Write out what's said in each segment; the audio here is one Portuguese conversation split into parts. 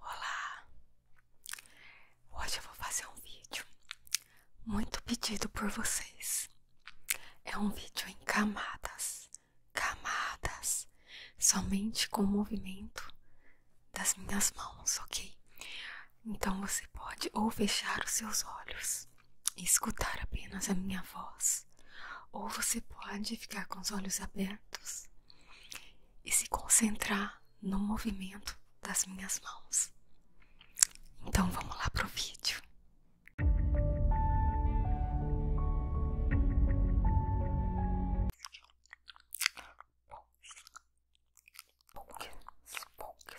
Olá! Hoje eu vou fazer um vídeo muito pedido por vocês. É um vídeo em camadas, camadas, somente com o movimento das minhas mãos, ok? Então você pode ou fechar os seus olhos e escutar apenas a minha voz, ou você pode ficar com os olhos abertos e se concentrar no movimento das minhas mãos. Então vamos lá pro vídeo. Respondeu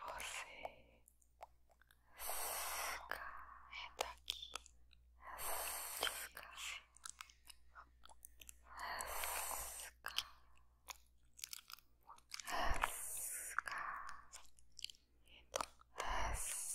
Você está aqui. Descanse. Descanse. Descanse.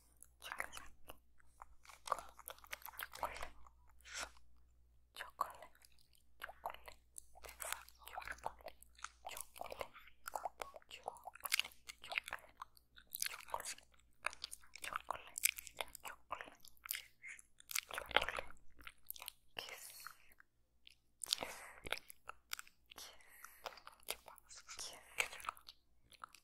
chocolate, chocolate, chocolate, chocolate, chocolate, chocolate, chocolate, chocolate, chocolate, chocolate, kiss, kiss, kiss, kiss, kiss,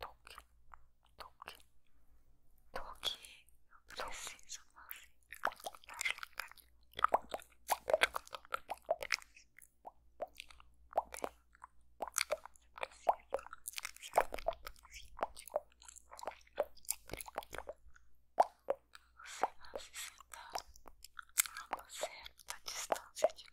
toque, toque, toque. Eu preciso fazer você vai se sentar a uma certa distância de mim